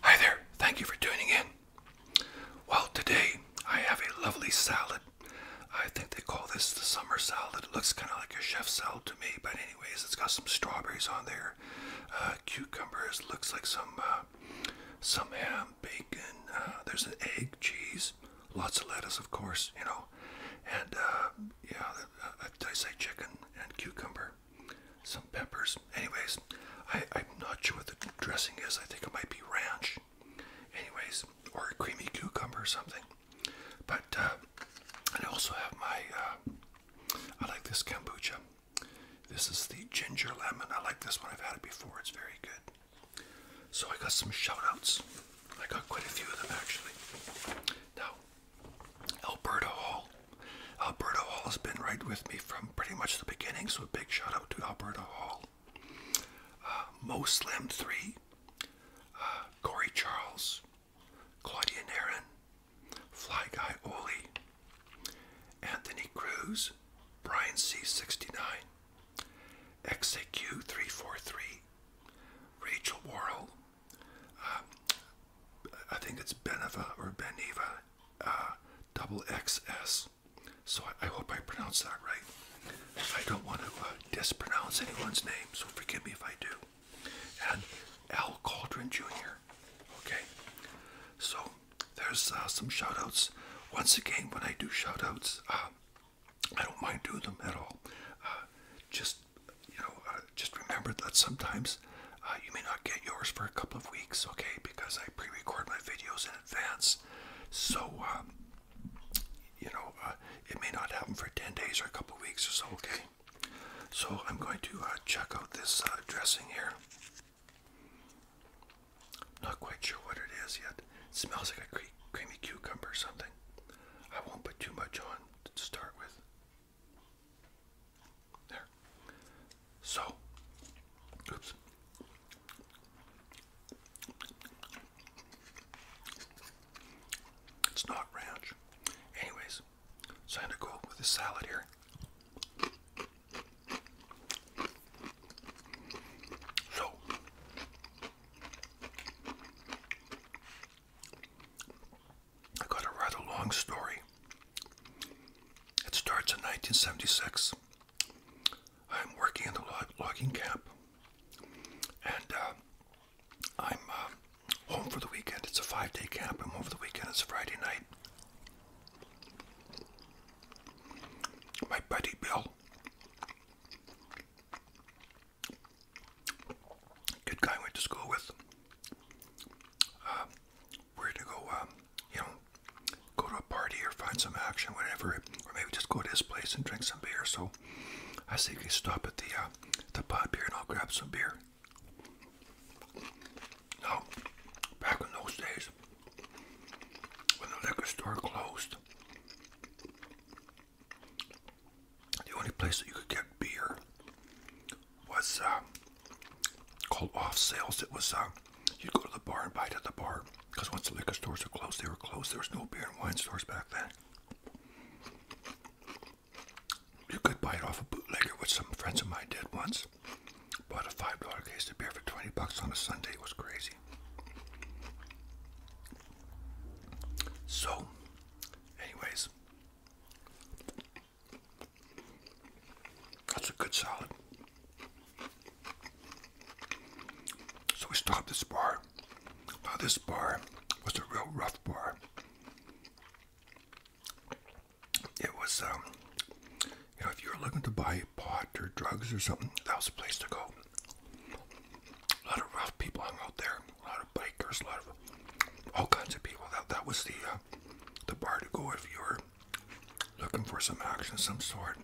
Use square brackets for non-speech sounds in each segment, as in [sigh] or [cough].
Hi there, thank you for tuning in. Well, today I have a lovely salad. I think they call this the summer salad. It looks kind of like a chef salad to me, but anyways, it's got some strawberries on there, uh, cucumbers looks like some uh, some ham, bacon. Uh, there's an egg, cheese, lots of lettuce, of course. You know, and yeah, uh, did I say chicken and cucumber? Some peppers. Anyways, I, I'm not sure what the dressing is. I think it might be ranch. Anyways, or creamy cucumber or something. But uh, I also have my uh, I like this kombucha. This is the ginger lemon. I like this one. I've had it before. It's very good. So I got some shout outs. I got quite a few of them actually. Now, Alberto Hall. Alberto Hall has been right with me from pretty much the beginning, so a big shout out to Alberto Hall. Uh, Mo Slim 3, uh, Corey Charles, Claudia Naren, Fly Guy Oli, Anthony Cruz, Brian C69, XAQ343, Rachel Worrell, um, I think it's Beneva or Beneva, uh, double XS. So I, hope I pronounce that right. I don't want to uh, dispronounce anyone's name, so forgive me if I do and Al Cauldron Jr. Okay, so there's uh, some shoutouts. Once again, when I do shoutouts, um, I don't mind doing them at all. Uh, just you know, uh, just remember that sometimes you may not get yours for a couple of weeks, okay? Because I pre-record my videos in advance, so um, you know it may not happen for ten days or a couple of weeks or so, okay? So I'm going to uh, check out this uh, dressing here. Not quite sure what it is yet. smells like a creamy cucumber or something. I won't put too much on to start with. There. So, oops. It's not ranch. Anyways. So I'm going to go with the salad here. So, I got a rather long story. It starts in 1976. I'm working in the log logging camp, and uh, I'm uh, home for the weekend. It's a five day camp. I'm home for the weekend. It's a Friday night. My buddy Bill, good guy went to school with. Uh, to go, um, you know, go to a party or find some action, whatever, or maybe just go to his place and drink some beer. So I think we stop at the uh, the pub here and I'll grab some beer. Now, oh, back in those days, when the liquor store closed, the only place that you could get beer was uh, called off sales. It was uh, you'd go to the bar and buy it at the bar because once the liquor stores were closed, they were closed. There was no beer and wine stores back then. You could buy it off a bootlegger, which some friends of mine did once. Bought a five dollar case of beer for twenty bucks on a Sunday. It was crazy. So, anyways, that's a good salad. So we stopped this bar. Now this bar was a real rough bar it was, um, you know, if you were looking to buy pot or drugs or something, that was a place to go. A lot of rough people hung out there. A lot of bikers, a lot of all kinds of people. That that was the uh, the bar to go if you were looking for some action of some sort.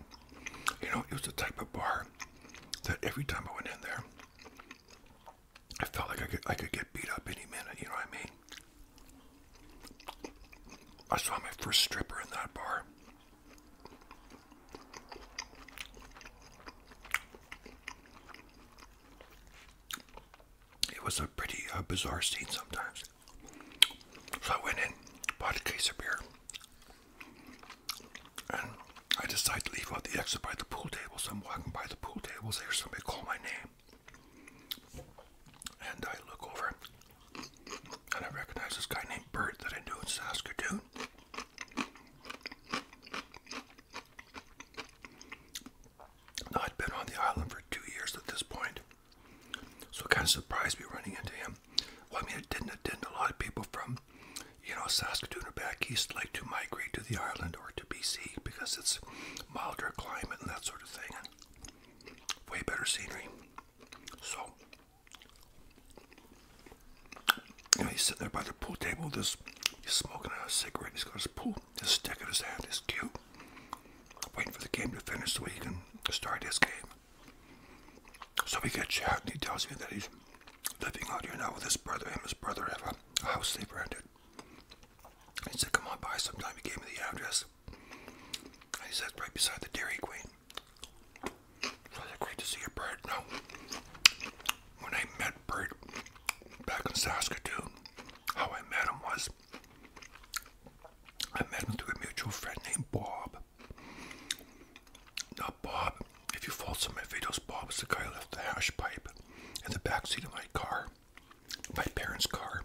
You know, it was the type of bar that every time I went in there, I felt like I could I could get beat up any minute. You know what I mean? I saw my first stripper in that bar. It was a pretty uh, bizarre scene sometimes. So I went in, bought a case of beer, and I decided to leave out the exit by the pool table. So I'm walking by the pool table, so I hear somebody call my name. And I look over and I recognize this guy named Bert that I knew in Saskatoon. I'd been on the island for two years at this point, so it kind of surprised me running into him. Well, I mean, it didn't. attend A lot of people from, you know, Saskatoon or back east like to migrate to the island or to BC because it's milder climate and that that's way better scenery. So, he's sitting there by the pool table. This he's smoking a cigarette. He's got his pool, his stick in his hand. He's cute, waiting for the game to finish so he can start his game. So we get chat, and he tells me that he's living out here now with his brother. Him and his brother have a house they rented. He said, Come on by sometime. He gave me the address. he said, Right beside the Dairy Queen. Great to see you, Bert. No. When I met Bert back in Saskatoon, how I met him was I met him through a mutual friend named Bob. Now, Bob, if you follow some of my videos, Bob was the guy who left the hash pipe in the back seat of my car my parents' car.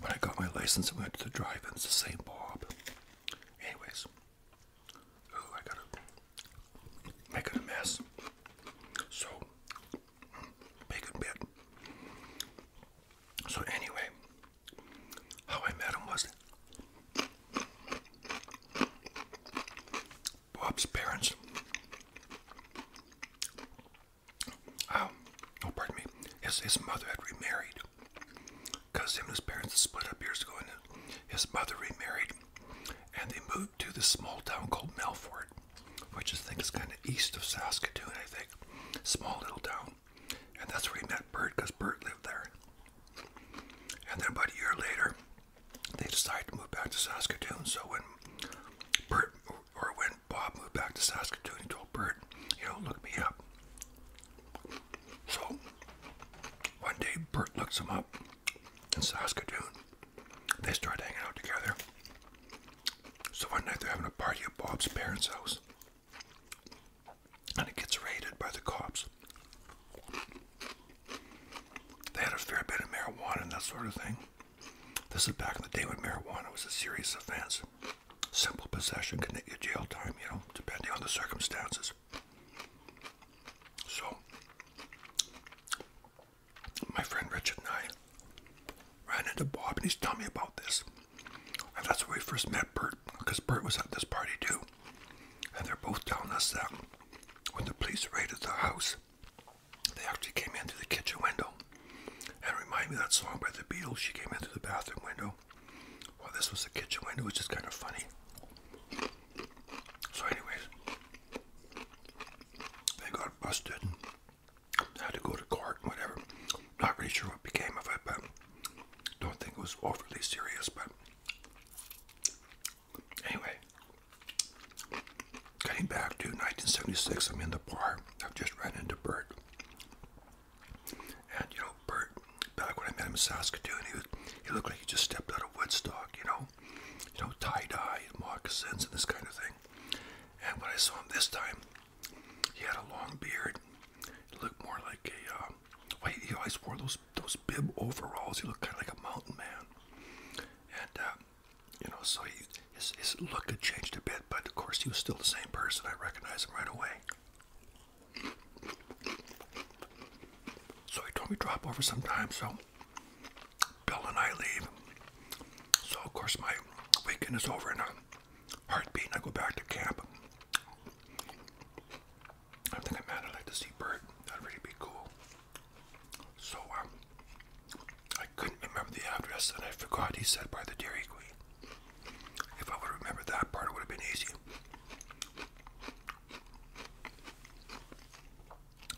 When I got my license I went to the drive It's the same Bob. Anyways. Ooh, I gotta make it a mess. So bacon bit. So anyway, how I met him was Bob's parents um, oh, pardon me, his, his mother had remarried because him and his parents had split up years ago, and his mother remarried, and they moved to this small town called Melfort, which I think is kind of east of Saskatoon, I think. Small little town. And that's where he met Bert, because Bert lived there. And then about a year later, they decided to move back to Saskatoon. So when Bert, or when Bob moved back to Saskatoon. He told Bert, you know, look me up. So one day Bert looks him up in Saskatoon. They start hanging out together. So one night they're having a party at Bob's parents' house. And it gets raided by the cops. They had a fair bit of marijuana and that sort of thing. This is back in the day when marijuana was a serious offense. Simple possession can get you jail time, you know, depending on the circumstances. So, my friend Richard and I ran into Bob and he's telling me about this. And that's where we first met Bert, because Bert was at this party too. And they're both telling us that when the police raided the house, they actually came in through the kitchen window. And it reminded me of that song by the Beatles. She came in through the bathroom window. Well, this was the kitchen window, which is kind of funny. So, anyways, they got busted and had to go to court and whatever. Not really sure what became of it, but don't think it was overly serious. But anyway, Getting back to 1976, I'm in the bar. I've just ran into Bert. And, you know, Bert, back when I met him in Saskatoon, he, was, he looked like he just stepped out of Woodstock, you know? You know, tie-dye and moccasins and this kind of thing. And when I saw him this time, he had a long beard. He looked more like a, um, well, he always wore those, those bib overalls. He looked kind of like a mountain man. And, uh, you know, so he, his, look had changed a bit, but of course he was still the same person. I recognized him right away. So he told me to drop over sometime, so Bill and I leave. So of course my weekend is over and a heartbeat and I go back to camp. I think, man, I'd like to see Bert. That'd really be cool. So um, I couldn't remember the address, and I forgot he said by the Dairy Queen. If I would have remembered that part, it would have been easy.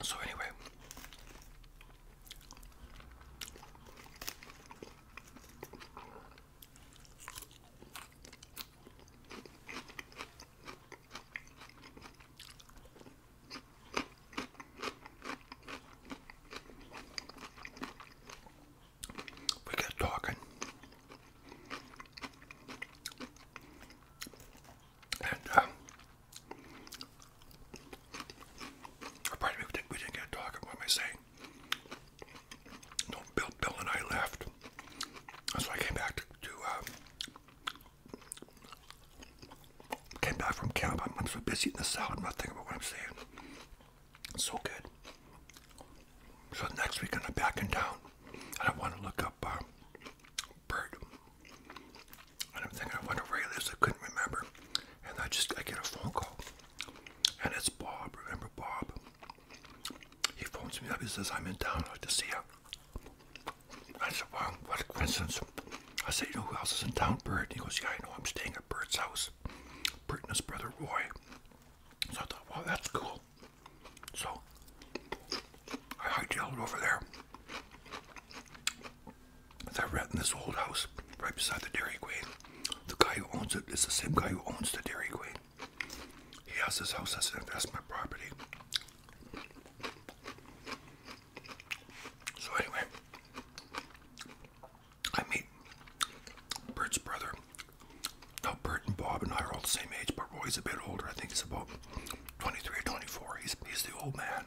So, anyway, we got talking. And uh, we didn't, get talking. What am I saying? Bill, and I left, so I came back to, uh, came back from camp. I'm, so busy in the salad, I'm not thinking about what I'm saying. So good. So next week I'm back in town, and I want to look up uh, Bird. And I'm thinking, I wonder where I couldn't remember, and I just I get a phone call, and it's Bob. Remember Bob? He phones me up. He says I'm in town. I'd like to see you. I said, Wow, what a coincidence! I said, You know who else is in town? Bird. And he goes, Yeah, I know. I'm staying at Bird's house was brother Roy. So I thought, wow, that's cool. So I hightailed over there. They're renting this old house right beside the Dairy Queen. The guy who owns it is the same guy who owns the Dairy Queen. He has this house as an investment property. So anyway, I meet Bert's brother. Now, Bert and Bob and I are all the same age, but Roy's a bit older. I think he's about 23 or 24. He's, he's the old man.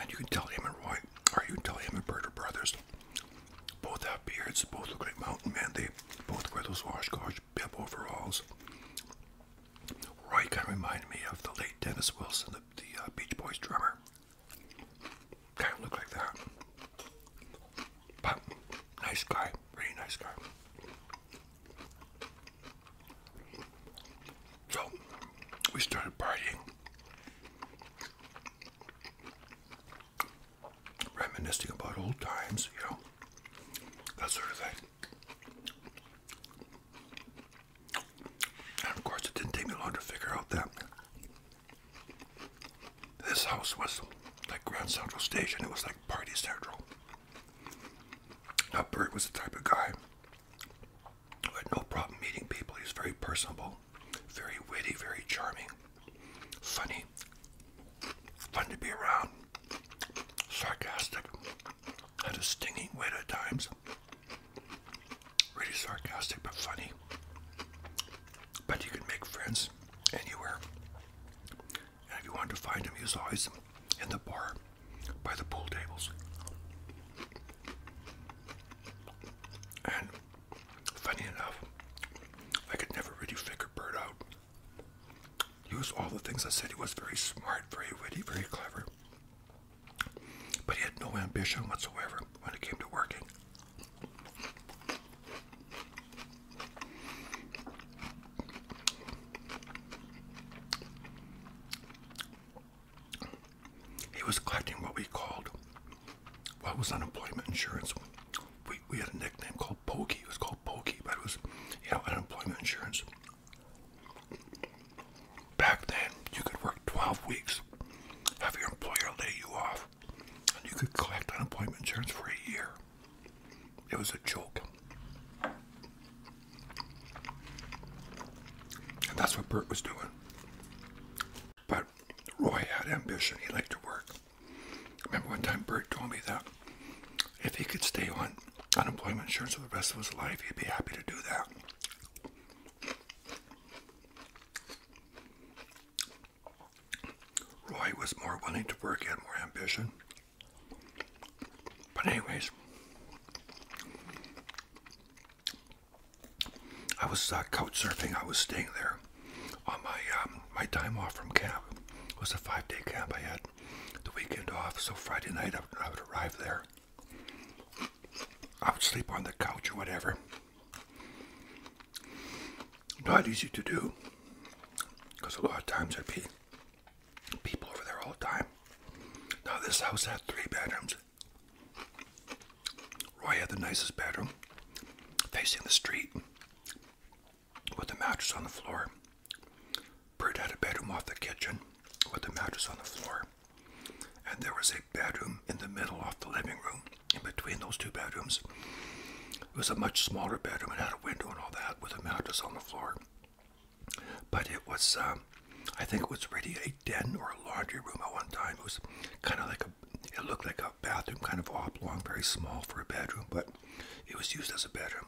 And you can tell him and Roy, or you can tell him and Bert are brothers. Both have beards, both look like mountain men. They both wear those washcloth bib overalls. Roy kind of reminded me of the late Dennis Wilson, the, uh, Beach Boys drummer. Kind of looked like that. But nice guy, really nice guy. So we started partying, reminiscing about old times, you know, that sort of thing of course, it didn't take me long to figure out that this house was like Grand Central Station. It was like Party Central. Now, Bert was the type of guy who had no problem meeting people. He was very personable, very witty, very charming, funny, fun to be around, sarcastic, had a stinging wit at times really sarcastic but funny. But you can make friends anywhere. And if you want to find him, he's always in the bar by the pool tables. And funny enough, I could never really figure Bert out. He was all the things I said. He was very smart, very witty, very clever. But he had no ambition whatsoever when it came to working. He was collecting what we called what was unemployment insurance. We, we had a nickname called Pokey. It was called Pokey, but it was, you know, unemployment insurance. Back then, you could work 12 weeks, have your employer lay you off, and you could collect unemployment insurance for a year. It was a joke. And that's what Bert was doing. But Roy had ambition. He liked to work. remember one time Bert told me that if he could stay on unemployment insurance for the rest of his life, he'd be happy to do that. Roy was more willing to work, had more ambition. But anyways, I was uh, couch surfing. I was staying there on my um, my time off from camp. It was a five-day camp I had. The weekend off, so Friday night I would arrive there. I would sleep on the couch or whatever. Not easy to do because a lot of times there'd be people over there all the time. Now, this house had three bedrooms. Roy had the nicest bedroom facing the street with the mattress on the floor. Bert had a bedroom off the kitchen with the mattress on the floor. And there was a bedroom in the middle off the living room, in between those two bedrooms. It was a much smaller bedroom and had a window and all that with a mattress on the floor. But it was, um, I think it was really a den or a laundry room at one time. It was kind of like a, it looked like a bathroom, kind of oblong, very small for a bedroom, but it was used as a bedroom.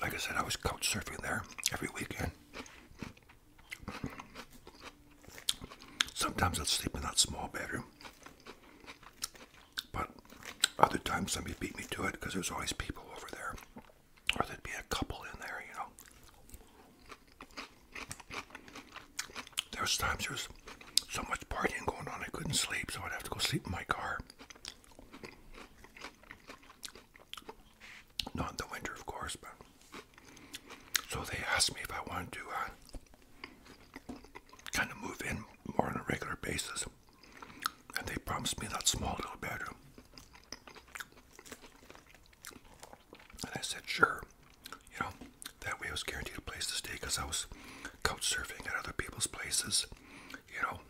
Like I said, I was couch surfing there every weekend. Sometimes I'd sleep in that small bedroom. But other times somebody beat me to it because there's always people over there. Or there'd be a couple in there, you know. There's times there's so much partying going on I couldn't sleep, so I'd have to go sleep in my car. Not in the winter, of course, but. So they asked me if I wanted to uh, kind of move in more on a regular basis. And they promised me that small little bedroom. And I said, sure. You know, that way I was guaranteed a place to stay because I was couch surfing at other people's places, you know,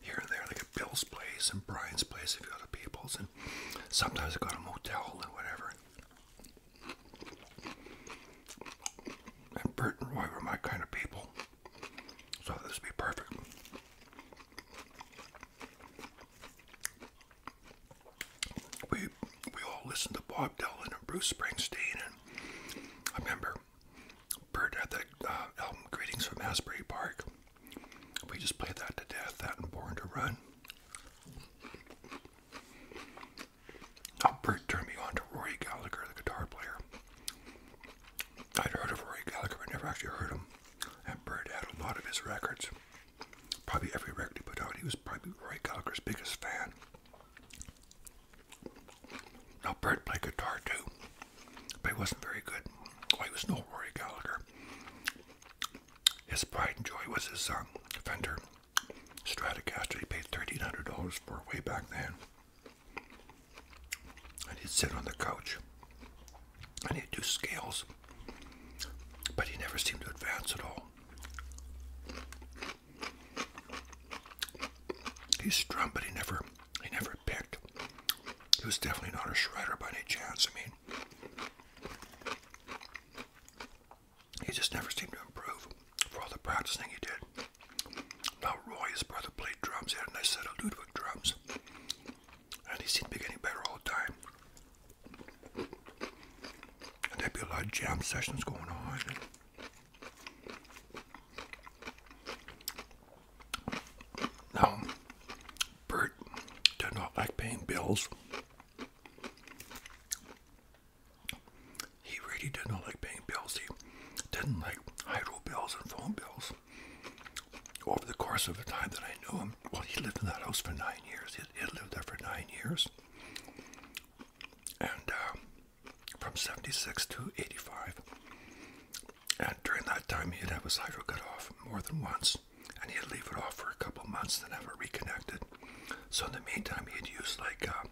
here and there, like at Bill's place and Brian's place if you people's, and sometimes I go to a motel and whatever. And Bert and Roy were my kind of people, so this would be perfect. We we all listened to Bob Dylan and Bruce Springsteen, and I remember Bird had the uh, album Greetings from Asbury Park. We just played that to death, that and Born to Run. Oh, Bert turned me on to Rory Gallagher, the guitar player. I'd heard of Rory Gallagher, but never actually heard him. And Bert had a lot of his records. Probably every record he put out, he was probably Rory Gallagher's biggest fan. Now, Bert played guitar too, but he wasn't very good. Well, he was no Rory Gallagher. His pride and joy was his um, Fender Stratocaster. He paid $1,300 for way back then. And he'd sit on the couch and he'd do scales, but he never seemed to advance at all. He strummed, but he never he never picked. He was definitely not a shredder by any chance. I mean, he just never seemed to improve for all the practicing he did. Now Roy, his brother, played drums. He had a nice set drums. And he seemed to be getting better all the time. And there'd be a lot of jam sessions going on. Now, Bert did not like paying bills. He really did not like paying bills. He didn't like hydro bills and phone bills. Over the course of the time that I knew him, well, he lived in that house for nine years. He lived there for nine years. And uh, from 76 to 85, and during that time, he'd have his hydro cut off more than once, and he'd leave it off for a couple months, then have it reconnected. So in the meantime, he'd use like uh,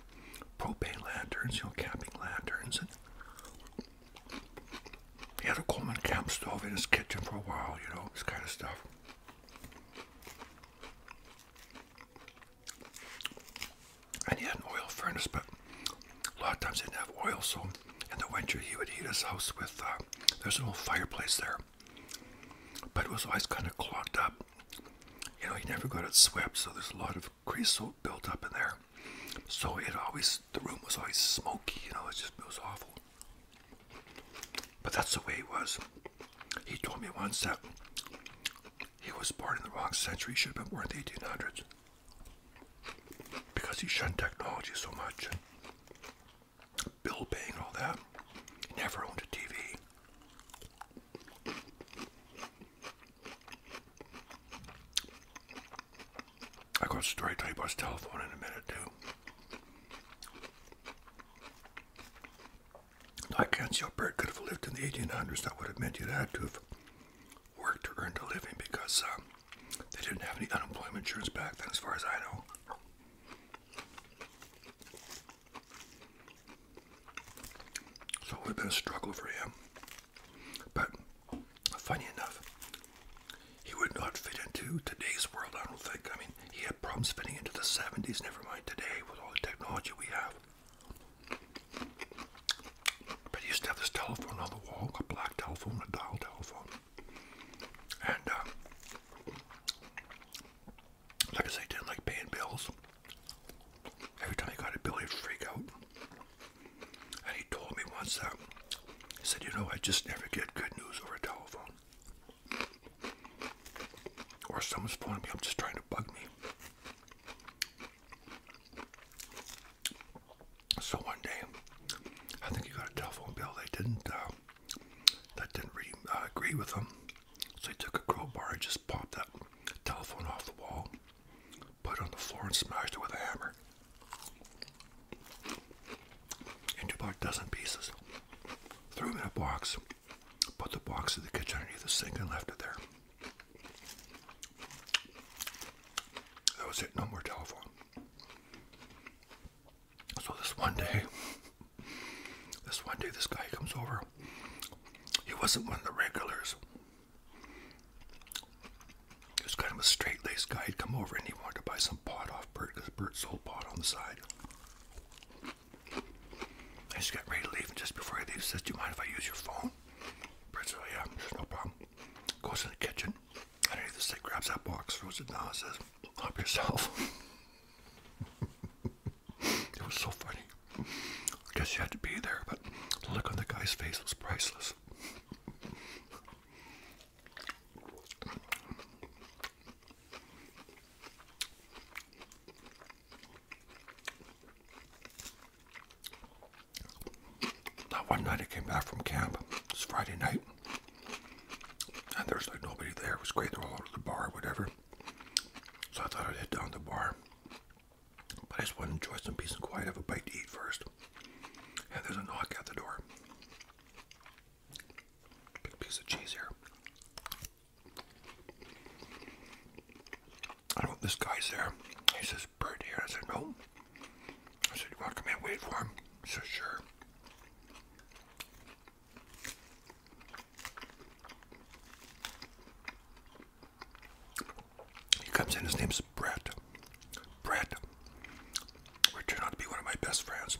propane lanterns, you know, camping lanterns, and he had a Coleman camp stove in his kitchen for a while, you know, this kind of stuff. And he had an oil furnace, but a lot of times he didn't have oil, so in the winter he would heat his house with, uh, there's an old fireplace there. But it was always kind of clogged up. You know, he never got it swept, so there's a lot of creosote built up in there. So it always, the room was always smoky, you know, it just was awful. But that's the way it was. He told me once that he was born in the wrong century, he should have been born in the 1800s because he shunned technology so much and bill paying all that. He never owned a TV. I got a story to his telephone in a minute too. I can't see how Bert could have lived in the 1800s. That would have meant he would have to have worked to earn a living because um, they didn't have any unemployment insurance back then, as far as I know. So it would have been a struggle for him. But funny enough, he would not fit into today's world, I don't think. I mean, he had problems fitting into the 70s, never mind today with all the technology we have. But he used to have this telephone on the wall, a black telephone, a dial telephone. And, uh, like I say, didn't like paying bills. Every time he got a bill, he'd freak out. And he told me once that, uh, he said, you know, I just never get good news over a telephone. Or someone's phoning me, I'm just trying to bug me. So one day, I think he got a telephone bill. They didn't, uh, that didn't uh, agree with him. So he took a crowbar and just popped that telephone off the wall, put it on the floor, and smashed it with a hammer into about a dozen pieces. Threw them in a box, put the box in the kitchen underneath the sink, and left it there. That was it. No more telephone. So this one day, this one day, this guy comes over. He wasn't one of the regulars. He was kind of a straight-laced guy. He'd come over and he wanted to buy some pot off Bert because Bert sold pot on the side. I just got ready to leave, and just before he leaves, he says, "Do you mind if I use your phone?" Bert said, "Yeah, there's no problem." goes to the kitchen, underneath the sink, grabs that box, throws it down, and says, Help yourself. [laughs] it was so funny. I guess you had to be there, but the look on the guy's face was priceless. That one night I came back from camp, it's Friday night, and there's like nobody there. It was great, they're all out of the bar, or whatever. So I thought I'd head down to the bar. But I just wanted to enjoy some peace and quiet, have a bite to eat first. And there's a knock at the door. Big piece of cheese here. I don't know, this guy's there. He says, Bert here. I said, no. I said, you want to come in wait for him? He sure. He comes in, his name's Brett. Brett, which turned out to be one of my best friends.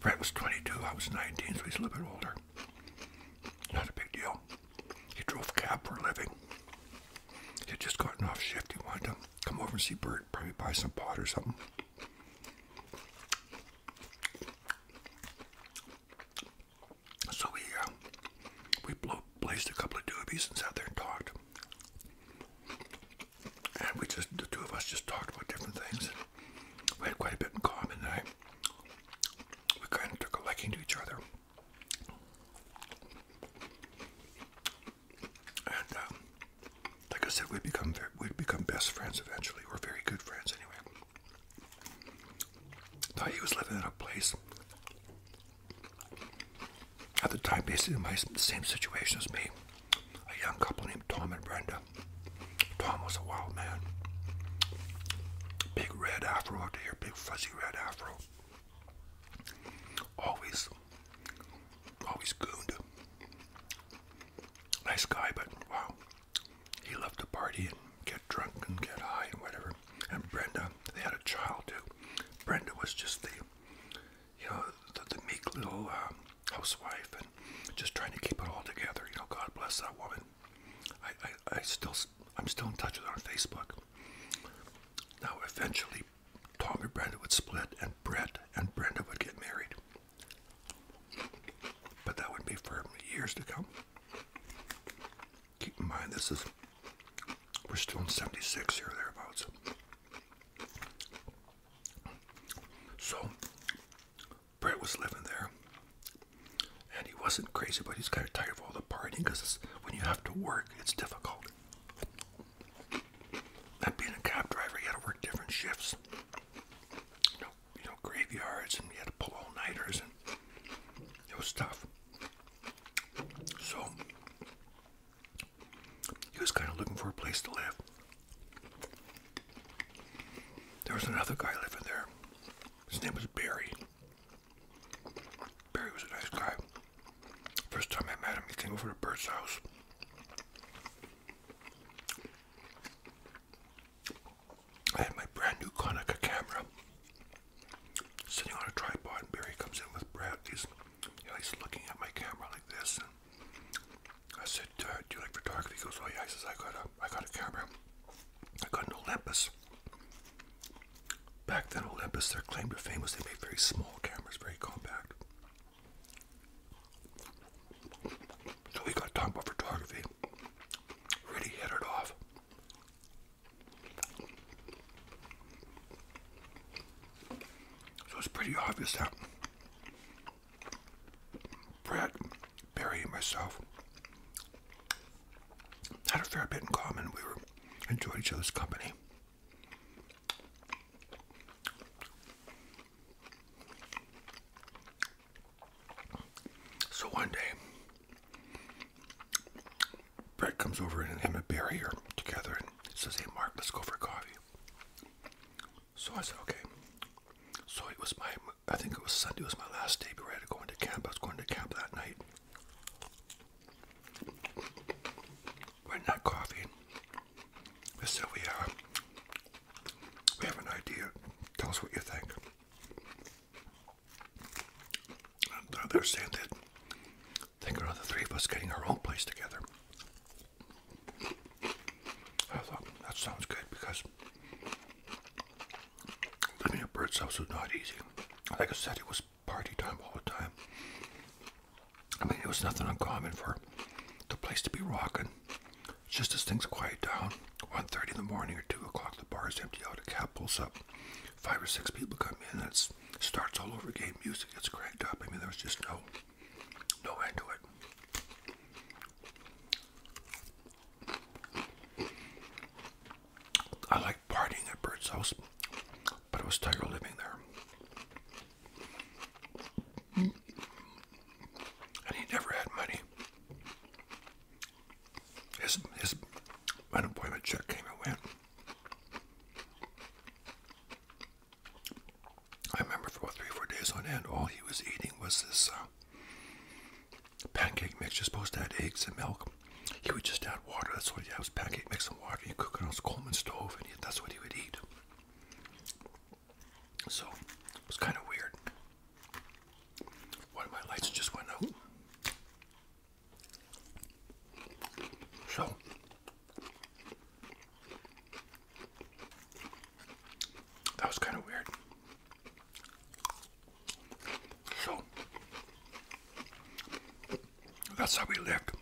Brett was 22, I was 19, so he's a little bit older. Not a big deal. He drove cab for a living. He had just gotten off shift. He wanted to come over and see Bert, probably buy some pot or something. So we uh, we blazed a couple of doobies and sat there and talked. And we just the two of us just talked about different things. We had quite a bit in common. And we kind of took a liking to each other. And um, like I said, we become we'd become best friends eventually, we're very good friends anyway. thought he was living in a place at the time, basically in the same situation as me. A young couple named Tom and Brenda. Tom was a wild man. Big red afro out here, big fuzzy red afro. Always, always gooned. Nice guy, but wow. He loved to party and get drunk and get high and whatever. And Brenda, they had a child too. Brenda was just the, you know, the, meek little um, housewife and just trying to keep it all together. You know, God bless that woman. I, I still, I'm still in touch with her on Facebook. Now, eventually, Tom and Brenda would split, and Brett and Brenda would get married. But that would be for years to come. Keep in mind, this is, we're still in 76 or thereabouts. So, Brett was living there, and he wasn't crazy, but he's kind of tired of all the partying because when you have to work. It's difficult. And being a cab driver, you had to work different shifts. You know, you know, graveyards, and you had to pull all-nighters, and it was tough. So, he was kind of looking for a place to live. There was another guy living there. His name was Barry. Barry was a nice guy. First time I met him, he came over to Bert's house. I had my brand new Konica camera sitting on a tripod, and Barry comes in with Brad. He's, he's looking at my camera like this. And I said, "Do you like photography?" He goes, "Oh I says, "I got a, I got a camera. I got an Olympus." Back then, Olympus, their claim to fame was they made very small cameras, very compact. So we got talking about photography. Really hit it off. So it's pretty obvious that Brad, Barry, and myself had a fair bit in common. We were enjoyed each other's company. So one day, Brett comes over and him and Barry are together and says, Hey, Mark, let's go for coffee. So I said, Okay. So it was my, I think it was Sunday, it was my last day, before I had to go into camp. I was going to camp that night. We're not coughing, but still we are. We have an idea. Tell us what you think. And they're saying that think of the three of us getting our own place together. I thought that sounds good because living in a bird's house was not easy. Like I said, it was party time all the time. I mean, it was nothing uncommon for the place to be rocking. Just as things quiet down, 1.30 in the morning or 2 o'clock, the bar is empty out, a cab pulls up. Five or six people come in, and it starts all over again. Music gets cranked up. I mean, there was just no, no end to it. I like partying at Bert's house, but it was Tiger living there. And he never had money. His, his unemployment check came and went. I remember for about three four days on end, all he was eating was this uh, pancake mix. You're supposed to add eggs and milk. He would just add water. That's what he had was pancake mix and water. You cook it on his Coleman stove, and that's what he would eat. So it was kind of weird. One of my lights just went out. So that was kind of weird. So that's how we lived.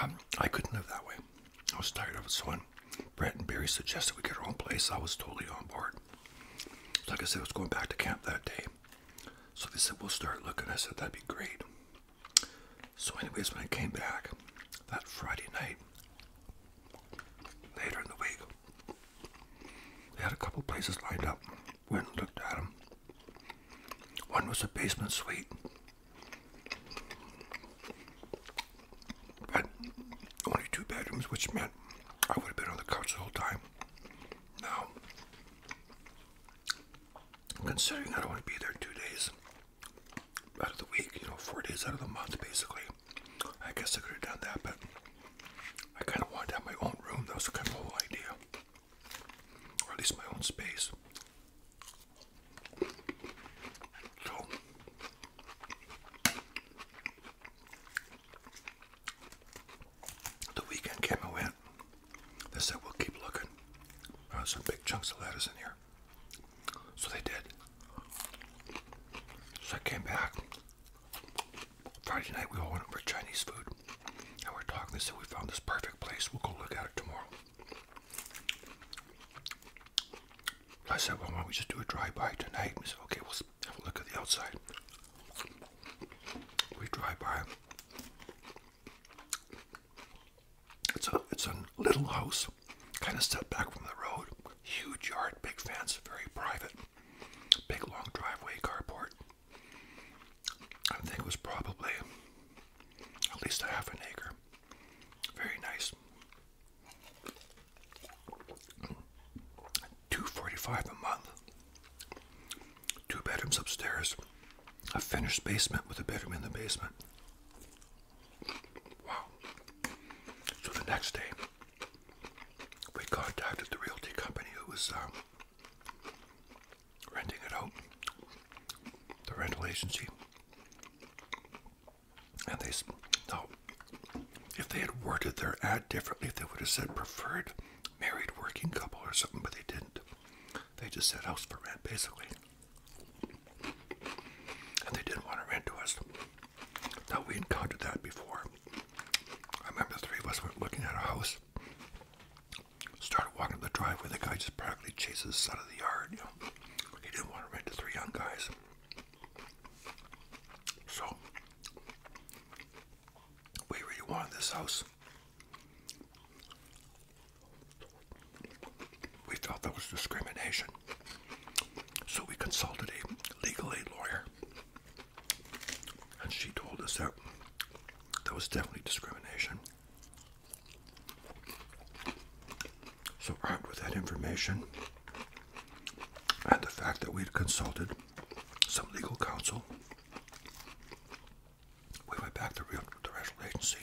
Um, I couldn't live that way. I was tired of it. So when Brett and Barry suggested we get our own place, I was totally on board. like I said, I was going back to camp that day. So they said, we'll start looking. I said, that'd be great. So anyways, when I came back that Friday night, later in the week, we had a couple places lined up. Went and looked at them. One was a basement suite. But only two bedrooms, which meant I would have been on the couch the whole time. Now, considering i don't want to be there two days out of the week, you know, four days out of the month, basically, I guess I could have done that, but I kind of wanted to have my own room. That was kind of the whole idea, or at least my own space. So, the weekend came and went. They said, we'll keep looking. There uh, some big chunks of lettuce in here. So they did. So I came back Friday night, we all went for Chinese food. And we're talking, they said we found this perfect place. We'll go look at it tomorrow. I said, well, why don't we just do a drive-by tonight? We said, okay, we'll have a look at the outside. We drive by. It's a, it's a little house, kind of set back from the road. Huge yard, big fence, very private big long driveway carport. I think it was probably at least a half an acre. Very nice. 245 a month. Two bedrooms upstairs. A finished basement with a bedroom in the basement. Wow. So the next day we contacted the realty company who was um, renting it out, the rental agency, and they said, "No, if they had worded their ad differently, they would have said preferred married working couple or something, but they didn't. They just said house for rent basically, and they didn't want to rent to us. Now we encountered that before. I remember three of us were looking at a house. Started walking up the driveway. The guy just practically chases us out of the yard. You know, he didn't want to rent to three young guys. So we really wanted this house. We felt that was discrimination. So we consulted a legal aid lawyer and she told us that that was definitely discrimination. So, armed with that information and the fact that we had consulted some legal counsel, we went back to real, the National Agency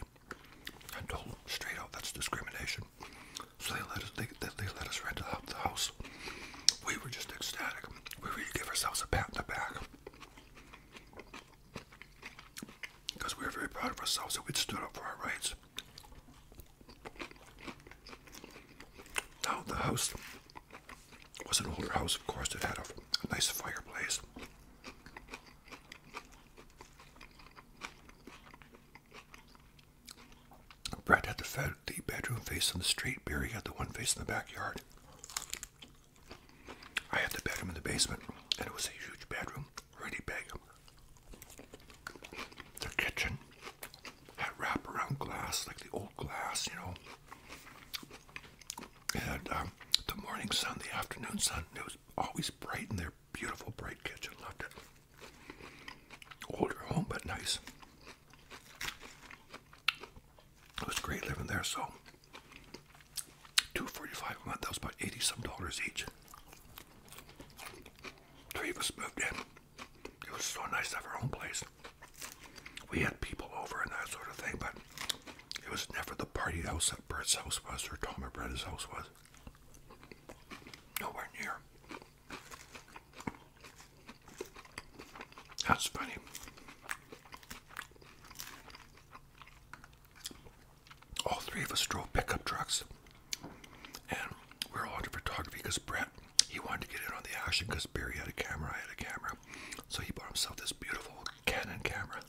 and told them straight out that's discrimination. So they let us they, they let us rent out the house. We were just ecstatic. We really gave ourselves a pat in the back. Because we were very proud of ourselves that we'd stood up for our rights. Now, the house was an older house, of course, that had a, nice fireplace. Brett had the fed, the bedroom facing the street. Barry had the one facing the backyard. I had the bedroom in the basement, and it was a huge bedroom, really big. The kitchen had wraparound glass, like the old glass, you know. It um, the morning sun, the afternoon sun. It was always bright in there. beautiful, bright kitchen. Loved it. Older home, but nice. It was great living there, so two forty-five a month. That was about eighty some dollars each. Three of us moved in. It was so nice to have our own place. We had people over and that sort of thing, but it was never the party house that Bert's house was or Tom and Bretta's house was. Nowhere near. That's funny. All three of us drove pickup trucks, and we are all into photography because Brett he wanted to get in on the action because Barry had a camera, I had a camera, so he bought himself this beautiful Canon camera.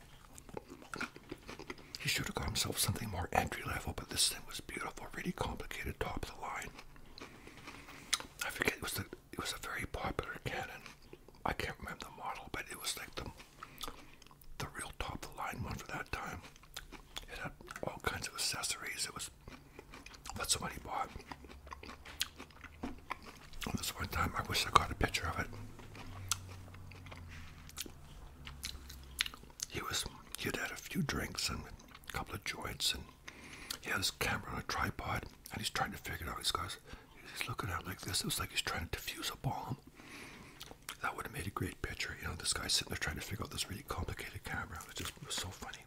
He should have got himself something more entry level, but this thing was beautiful, really complicated, top of the line. I forget what's the it was a very popular cannon. I can't remember the model, but it was like the the real top of the line one for that time. It had all kinds of accessories. It was what somebody bought. And this one time, I wish I got a picture of it. He was he'd had a few drinks and a couple of joints and he had his camera on a tripod and he's trying to figure out. He's, guys, he's looking at it like this. It was like he's trying to defuse a bomb. That would have made a great picture. You know, this guy sitting there trying to figure out this really complicated camera. It just was so funny.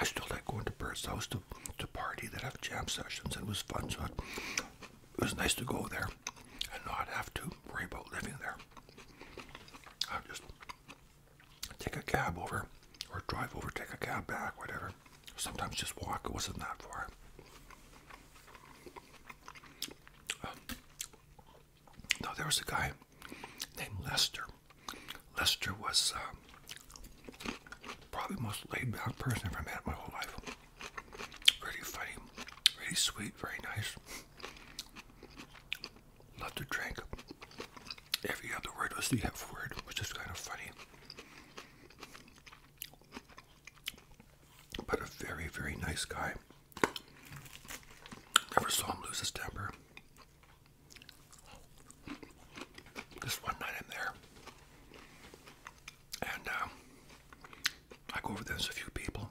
I still like going to Bert's house to, to party. they have jam sessions and it was fun. So it, was nice to go there and not have to worry about living there. I just take a cab over or drive over, take a cab back, whatever. Sometimes just walk. It wasn't that far. Um, no, there was a guy named Lester. Lester was uh, probably the most laid back person I've ever met in my whole life. Really funny, really sweet, very nice love to drink. Every other word was the F word, which is kind of funny. But a very, very nice guy. Never saw him lose his temper. Just one night in there. And uh, I go over there, there's a few people.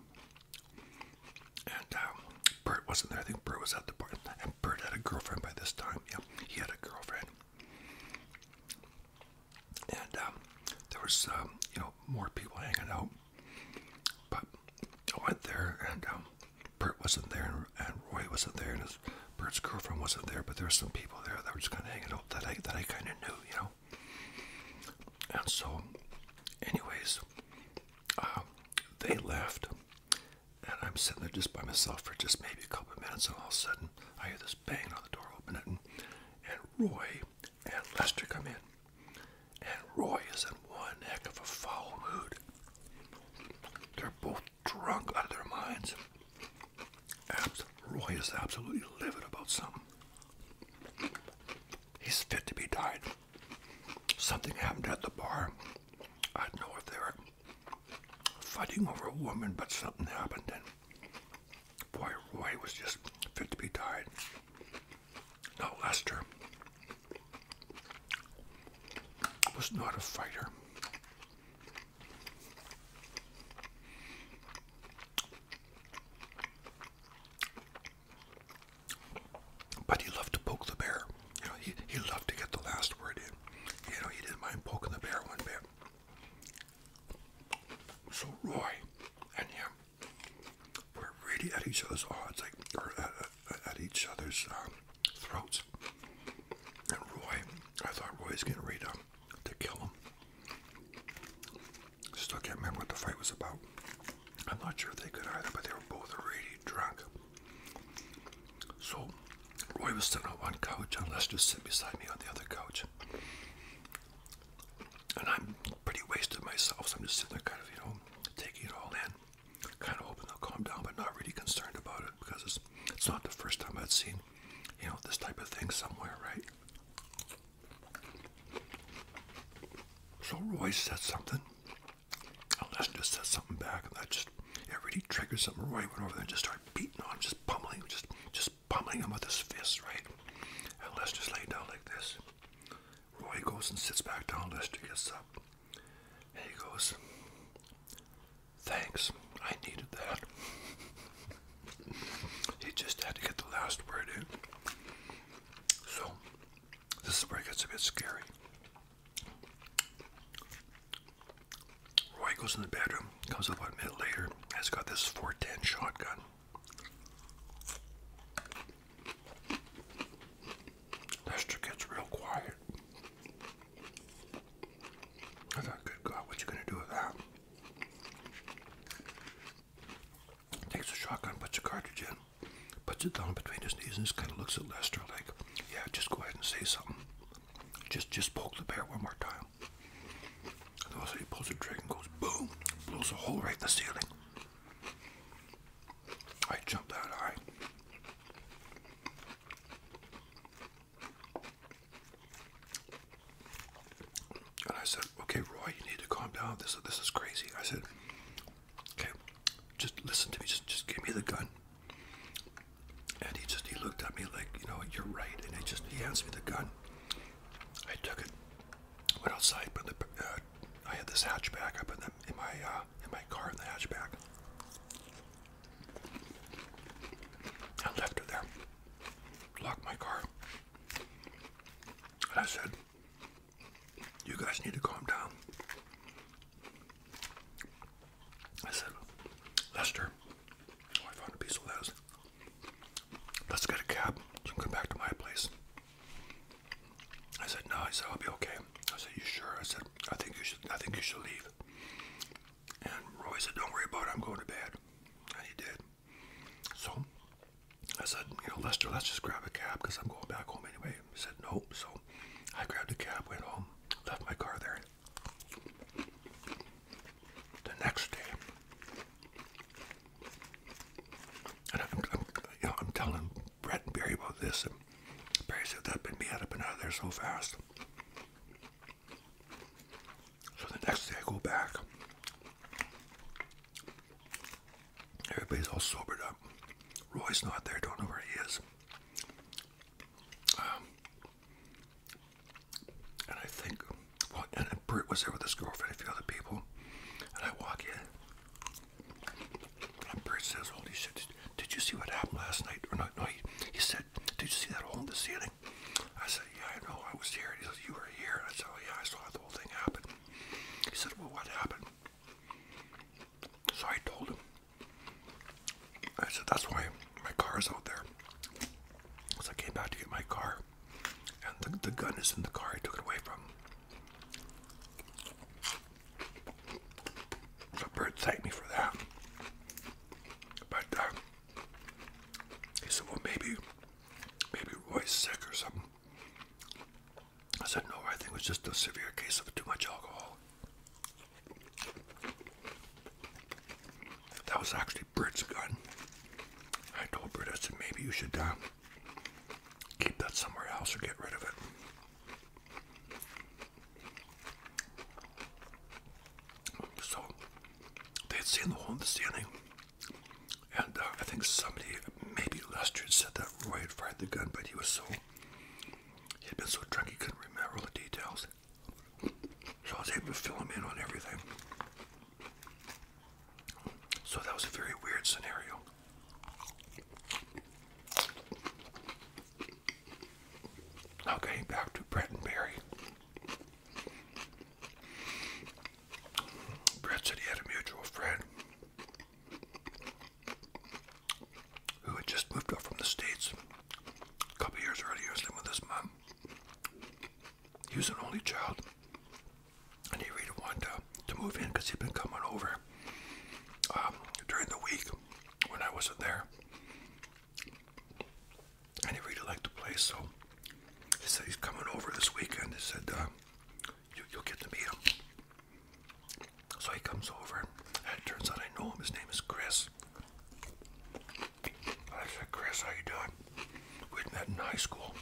And um, Bert wasn't there. I think Bert was at the bar. And Bert had a girlfriend by this time. Yeah, he had a girlfriend. And um, there was, um, you know, more people hanging out. But I went there, and um, Bert wasn't there, and, and Roy wasn't there, and his, Bert's girlfriend wasn't there. But there were some people there that were just kind of hanging out that I that I kind of knew, you know. And so, anyways, um, they left, and I'm sitting there just by myself for just maybe a couple of minutes, and all of a sudden I hear this bang on the door open, and, Roy and Lester come in, and Roy is in one heck of a foul mood. They're both drunk out of their minds. Abs Roy is absolutely livid about something. He's fit to be tied something happened at the bar. I don't know if they were fighting over a woman, but something happened, and boy, Roy was just fit to be tied. Now, Lester was not a fighter. But he loved to poke the bear. You know, he, he loved to get the last word in. You know, he didn't mind poking the bear one bit. So Roy and him were really at each other's odds, like, at, at, each other's um, throats. And Roy, I thought Roy's getting ready to, to kill him. Still can't remember what the fight was about. I'm not sure if they could either, but they were both already drunk. So Roy was sitting on one couch and Lester just sitting beside me on the other couch. And I'm pretty wasted myself, so I'm just sitting there kind of, you know, taking it all in. Kind of hoping they'll calm down, but not really concerned about it because it's, it's not the first time I've seen, you know, this type of thing somewhere, right? So Roy said something, unless oh, just says something back and that just it really triggers something right went over there and just started beating on him, just pummeling just just pummeling him with his fists, right? And Les just lay down like this. Roy goes and sits back down, Lester gets up. And he goes, Thanks, I needed that. [laughs] he just had to get the last word in. So this is where it gets a bit scary. Roy goes in the bedroom, comes up about a minute later, has got this 410 shotgun. Lester gets real quiet. I thought, good God, what you gonna do with that? Takes a shotgun, puts a cartridge in puts it down between his knees and just kind of looks at Lester like, yeah, just go ahead and say something. Just just poke the bear one more time. And also he pulls the trigger and goes boom, blows a hole right in the ceiling. I jumped out. high. And I said, okay, Roy, you need to calm down. This, this is crazy. I said, Okay, just listen to me. Just, just give me the gun. And he just, he looked at me like, you know, you're right. And he just, he hands me the gun. I took it, went outside, put the, uh, I had this hatchback. I put them in my, uh, in my car in the hatchback. I left it there, locked my car. And I said, you guys need to calm down. I said, Lester, I found a piece of lettuce. Let's get a cab. come back to my place. I said, no, I said, I'll be okay. I said, you sure? I said, I think you should, I think you should leave. And Roy said, don't worry about it, I'm going to bed. And he did. So I said, you know, Lester, let's just grab a cab because I'm going back home anyway. He said, no. So I grabbed a cab, went home, left my car there. The next day, and I'm, you know, I'm telling Brett and Barry about this, and Barry said, that been me, I'd been out of there so fast. So the next day I go back. Everybody's all sobered up. Roy's not there, don't know where he is. Um, and I think, well, and Britt was there with his girlfriend, a few other people, and I walk in, and Britt says, "Holy shit! Did you see what happened last night?" Or no, no, he, he said, "Did you see that hole in the ceiling?" I said, "Yeah, I know. I was here." he says, "You were here?" I said, oh, yeah, I saw the whole thing happen." He said, "Well, what happened?" So I told him, I said, that's why my car's out there. So I came back to get my car, and the, gun is in the car I took it away from. The bird thanked me for that. But uh, he said, well, maybe, maybe Roy's sick or something. I said, no, I think it was just a severe case of too much alcohol. That was actually Brit's gun. I told Brit. I said, maybe you should uh, keep that somewhere else or get rid of it. So they had seen the whole in and uh, I think somebody, maybe Lester, said that Roy had fired the gun, but he was so he had been so drunk he couldn't remember all the details. So I was able to fill him in on everything. So that was a very weird scenario. Okay, back to Brett and Barry. Brett said he had a mutual friend who had just moved up from the States a couple years earlier, was living with his mom. He was an only child, and he really wanted to, move in because he'd been coming over um, during the week when I wasn't there. And he really liked the place, so he said he's coming over this weekend. He said, uh, You'll get to meet him. So he comes over, and turns out I know him. His name is Chris. I said, Chris, how you doing? We'd met in high school.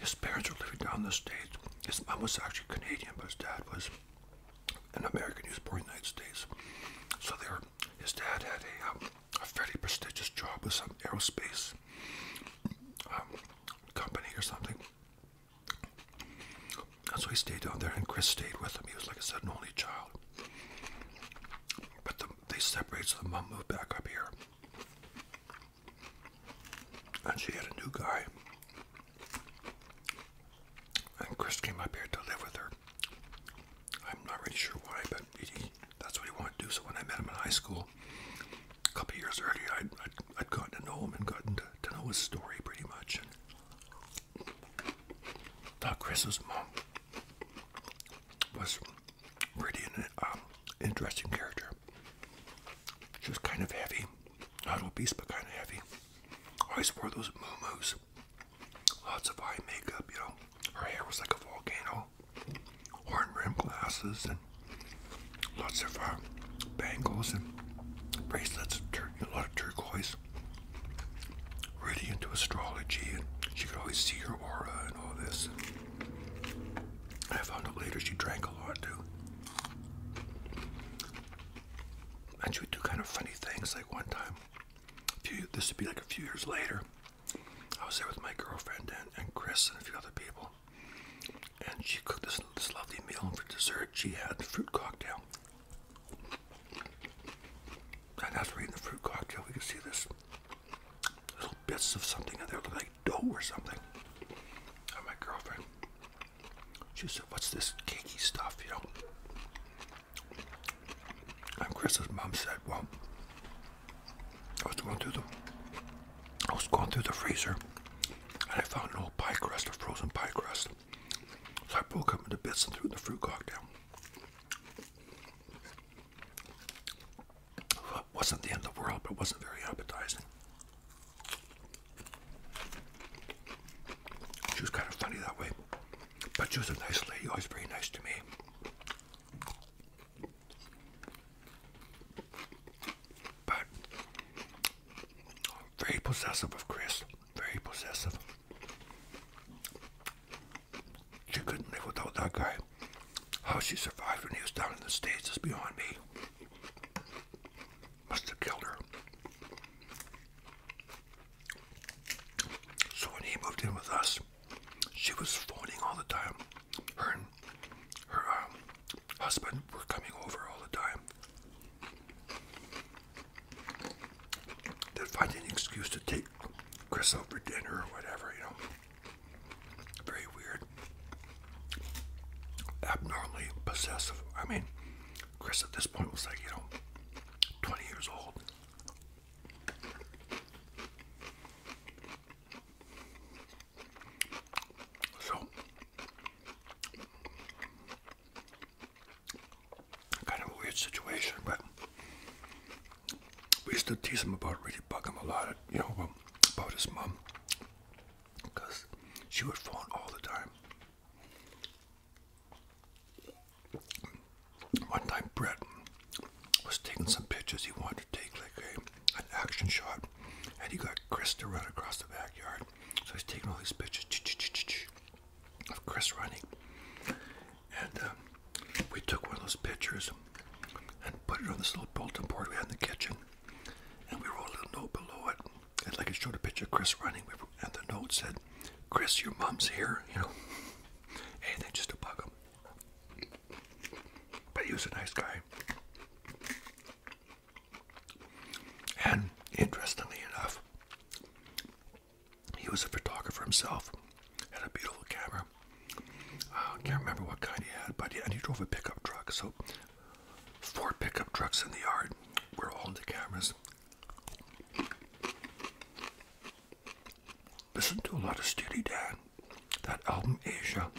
His parents were living down the States. His mom was actually Canadian, but his dad was an American. He was born in the United States. So there, his dad had um, a, fairly prestigious job with some aerospace um, company or something. And so he stayed down there, and Chris stayed with him. He was, like a said, an only child. But they separated, so mom moved back up here. And she had a new guy. And Chris came up here to live with her. I'm not really sure why, but he, that's what he wanted to do. So when I met him in high school, a couple years earlier, I'd, I'd, gotten to know him and gotten to know his story pretty much. The Christmas mom was pretty an, um, interesting character. She was kind of heavy, not obese, but kind of heavy. Always wore those moo-moos. Lots of eye makeup, you know. Her hair was like a volcano. Horn rim glasses and lots of uh, bangles and bracelets, and a lot of turquoise. Really into astrology, and she could always see her aura and all this. I found out later she drank a lot too. And she would do kind of funny things. Like one time, a few, this would be like a few years later, I was there with my girlfriend and, and Chris and a few other people. And she cooked this this, lovely meal, and for dessert, she had the fruit cocktail. And as we're eating the fruit cocktail, we can see this little bits of something in there, like dough or something. And my girlfriend, she said, What's this cakey stuff, you know? And Chris's mom said, Well, I was going through the I was going through the freezer and I found an old pie crust, a frozen pie crust. I broke them into bits and threw the fruit cocktail. Well, it wasn't the end of the world, but wasn't very appetizing. She was kind of funny that way. But she was a nice lady, always very nice to me. But very possessive of Chris. Very possessive. She couldn't live without that guy. How she survived when he was down in the States is beyond me. Must have killed her. So when he moved in with us, she was phoning all the time. Her her um, husband were coming over all the time. They'd find any excuse to take Chris out for dinner or whatever, you know. Very weird. Abnormally possessive. I mean, Chris at this point was like, you know, 20 years old. So, Kind of weird situation, but we used to tease him about really bug him a lot, you know, about, about his mom. Because she would phone all the time. One time, Brett was taking some pictures. He wanted to take like a, an action shot, and he got Chris to run across the backyard. So he's taking all these pictures of Chris running. And um, we took one of those pictures and put it on this little bulletin board we had in the kitchen. And we wrote a little note below it. And like it showed a picture of Chris running. And the note said, Chris, your mom's here, [laughs] you know. Anything just to bug him. But he was a nice guy. And interestingly enough, he was a photographer himself, had a beautiful camera. Uh, can't remember what kind he had, but and he drove a pickup truck. So four pickup trucks in the yard were all the cameras. Listen to a lot of Steely Dan. That album Asia.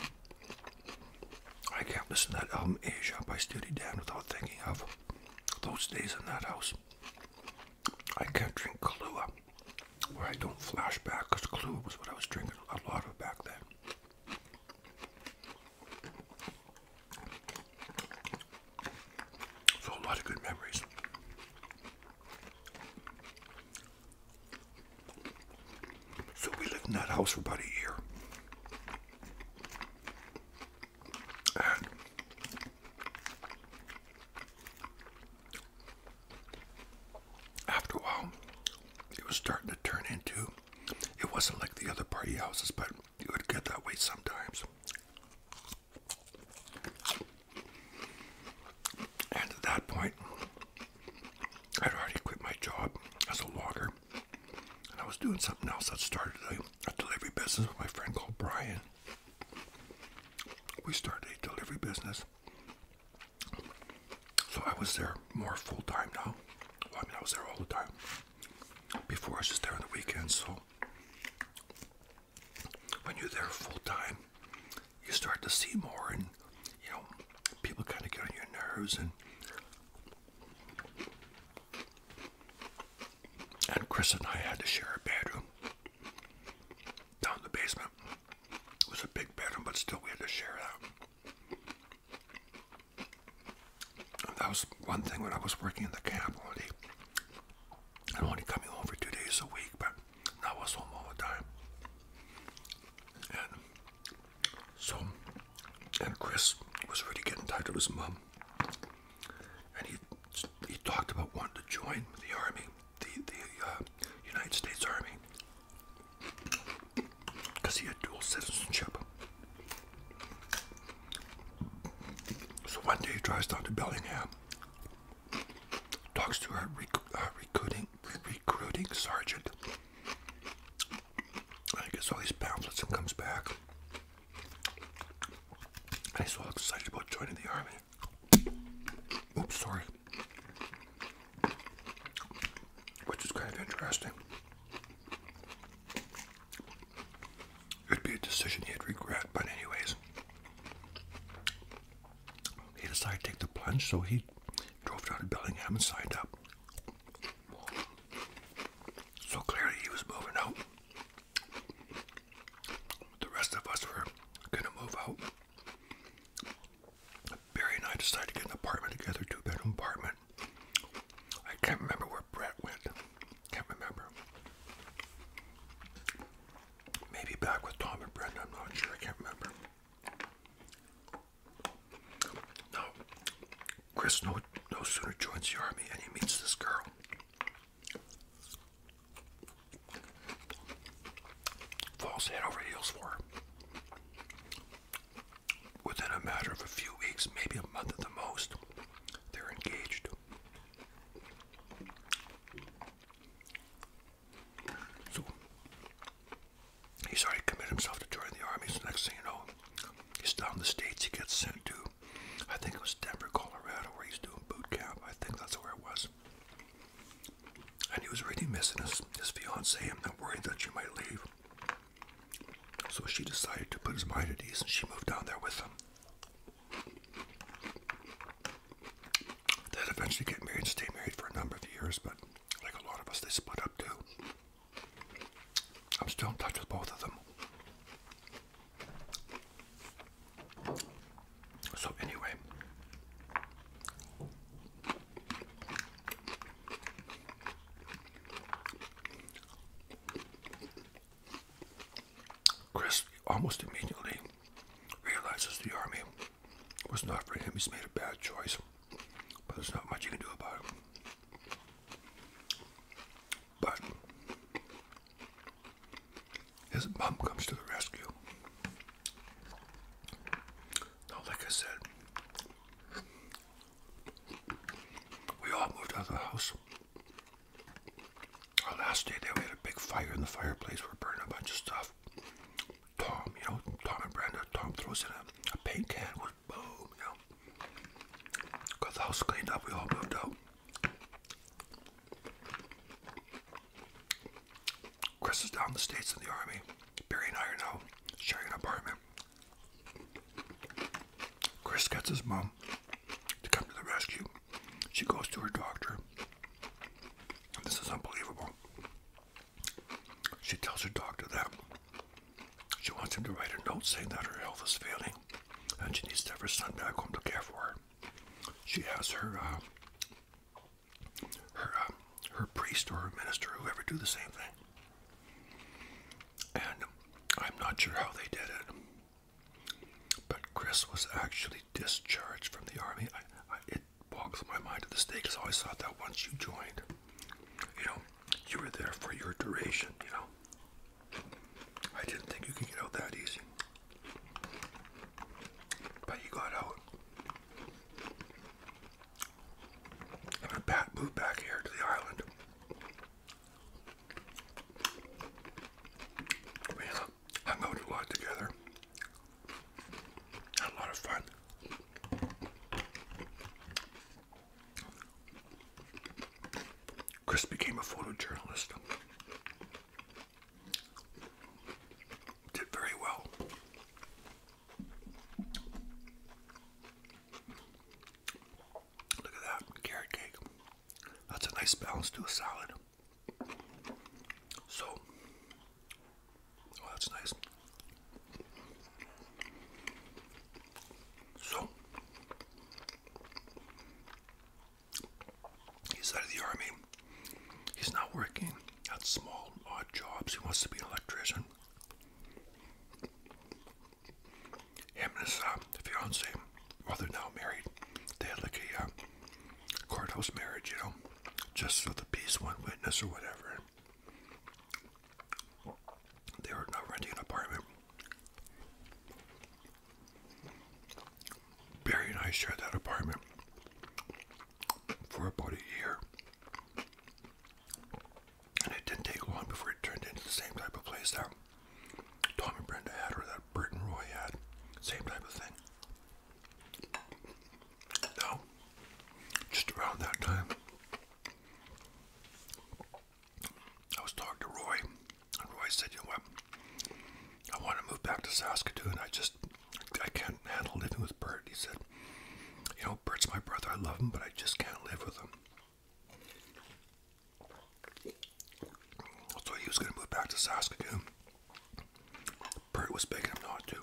I can't listen to that album Asia by Steely Dan without thinking of those days in that house, I can't drink Kahlua where I don't flash back because Kahlua was what I was drinking a lot of back then. So, a lot of good memories. So, we lived in that house for about a year after a while, it was starting to turn into. It wasn't like the other party houses, but it would get that way sometimes. And at that point, I'd already quit my job as a logger and I was doing something else. that started a, delivery business with my friend called Brian. We started a delivery business. So I was there more full time now. I mean, I was there all the time. Before, I was just there on the weekends. So when you're there full time, you start to see more, and you know, people kind of get on your nerves, and and Chris and I had to share a bedroom down in the basement. It was a big bedroom, but still we had to share that. that was one thing when I was working in the camp only. I'm only coming over two days a week, but I was home all the time. And so, and Chris was really getting tired of his mom and he he talked about wanting to join the army, the the uh, United States Army, because he had dual citizenship. So one day he drives down to Bellingham, talks to a recruiting recruiting sergeant. And he gets all these pamphlets and comes back. I'm excited about joining the army. Oops, sorry. Which is kind of interesting. It'd be a decision he'd regret, but anyways. He decided to take the plunge, so he drove down to Bellingham and signed up. So clearly he was moving out. The rest of us were gonna move out. Barry and I decided to get an apartment together, two bedroom apartment. I can't remember where Brett went. Can't remember. Maybe back with Tom and Brenda, I'm not sure, I can't remember. Now, Chris no no sooner joins the army and he meets this girl. Falls head over heels for. Within a matter of a few weeks, maybe a month at the most, they're engaged. So he's already committed himself to joining the army. So next thing you know, he's down the states. He gets sent to I think it was Denver, Colorado, where he's doing boot camp. I think that's where it was. And he was really missing his, his fiancee and worried that she might leave. So she decided to put his mind at ease and she moved down there with him. they eventually get married and stay married for a number of years, but like a lot of us, they split up too. I'm still in touch with both of them. So anyway, Chris almost immediately realizes the army was not for him. He's made a bad choice, but there's not much you can do about it. But his mom comes to the rescue. Now, like said, we all moved out of the house. Our last day there, we had a big fire in the fireplace. We're a bunch of stuff. Tom, you know, Tom and Brenda, Tom throws in a paint can with boom, you know. Got the house cleaned up, we all moved out. Chris is down the States in the Army. Barry and I are now sharing an apartment. Chris gets his mom to come to the rescue. She goes to her doctor. This is unbelievable. She tells her doctor that she wants him to write a note saying that her health is failing and she needs to have her son back home to care for her. She has her uh, her uh, her priest or her minister, whoever, do the same thing. And I'm not sure how they did it, but Chris was actually discharged from the army. it boggles my mind to the state because I always thought that once you joined, you know, you were there for your duration, you know. I didn't think you could get out that easy. But you got out. i pat move back here to the island. We hung out a lot together. Had a lot of fun. Chris became a photojournalist. Did very well. Look at that carrot cake. That's a nice balance to a salad. So, oh, that's nice. So, He's out of the army. He's not working at small, odd jobs. He wants to be an electrician. Him and his uh, fiance, well, they're now married. They had like a uh, courthouse marriage, you know, just for the peace, one witness, or whatever. They were now renting an apartment Barry and I shared that apartment for about a year. And it didn't take long before it turned into the same type of place that Tom Brenda had or that Bert Roy had. Same type of thing. Now, just around that time, I was talking to Roy, and Roy said, "You know what? I want to move back to Saskatoon. I just I can't handle living with Bert." He said, "You know, Bert's my brother. I love him, but I just can't live with him." So he was going to move back to Saskatoon. Bert was begging him not to.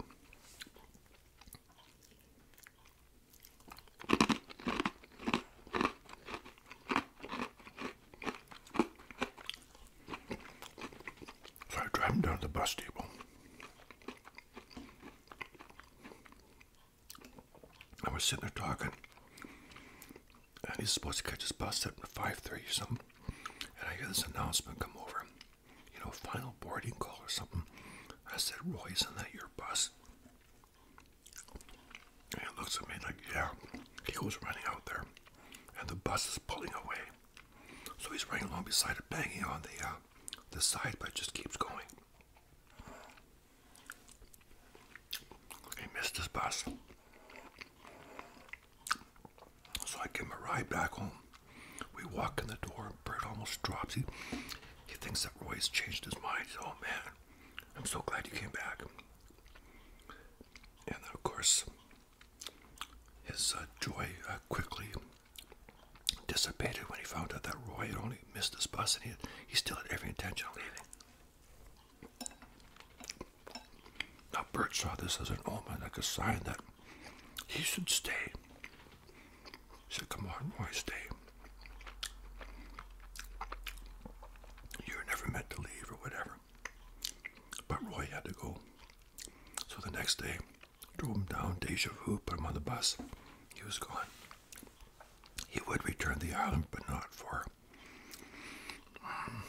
So I drive him down to the bus depot. I was sitting there talking, and he's supposed to catch his bus at 5.30 or something, and I hear this announcement come over, you know, final boarding call or something. I said, Roy, isn't that your bus? And it looks at me like, yeah, he goes running out there. And the bus is pulling away. So he's running along beside it, banging on the, uh, the side, but it just keeps going. He missed his bus. So I give him a ride back home. We walk in the door, and Bert almost drops. He, he thinks that Roy's changed his mind. oh man, I'm so glad you came back and of course his uh, joy uh, quickly dissipated when he found out that Roy had only missed his bus and he, he still had every intention of leaving. Now Bert saw this as an omen, like a sign that he should stay. He said, come on, Roy, stay. You're never meant to leave or whatever. But Roy had to go. So the next day, drove him down, deja vu, put him on the bus. He was gone. He would return to the island, but not for um,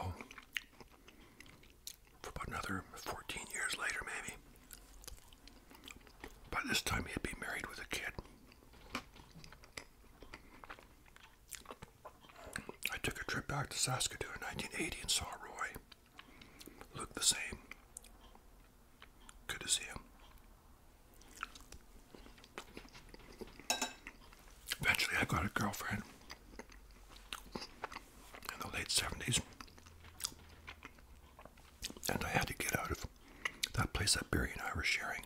oh, for about another 14 years later, maybe. By this time, he'd be married with a kid. I took a trip back to Saskatoon in 1980 and saw Roy. Looked the same. Good to see him. Eventually, I got a girlfriend in the late 70s, and I had to get out of that place that Barry and I were sharing.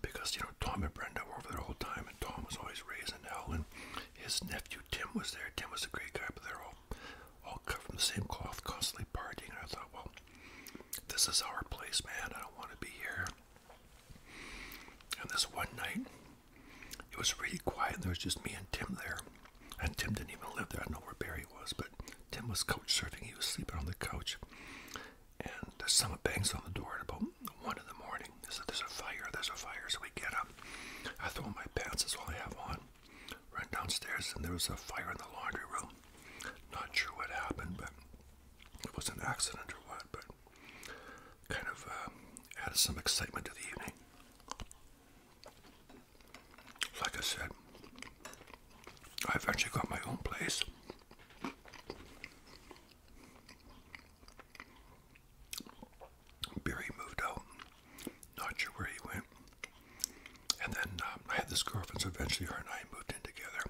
Because, you know, Tom and Brenda were over there all the time, and Tom was always raising hell, and his nephew Tim was there. Tim was a great guy, but they're all, all cut from the same cloth, constantly partying. And I thought, well, this is our place, man. I don't want to be here. And this one night, it was really quiet, and there was just me and Tim there. And Tim didn't even live there. I don't know where Barry was, but Tim was couch surfing. He was sleeping on the couch. And someone bangs on the door at about one in the morning. They "There's a fire! There's a fire!" So we get up. I throw on my pants. That's all I have on. Run downstairs, and there was a fire in the laundry room. Not sure what happened, but it was an accident or what. But kind of uh, added some excitement to the evening. Like I said, I eventually got my own place. Barry moved out. Not sure where he went. And then um, I had this girlfriend, so eventually her and I moved in together.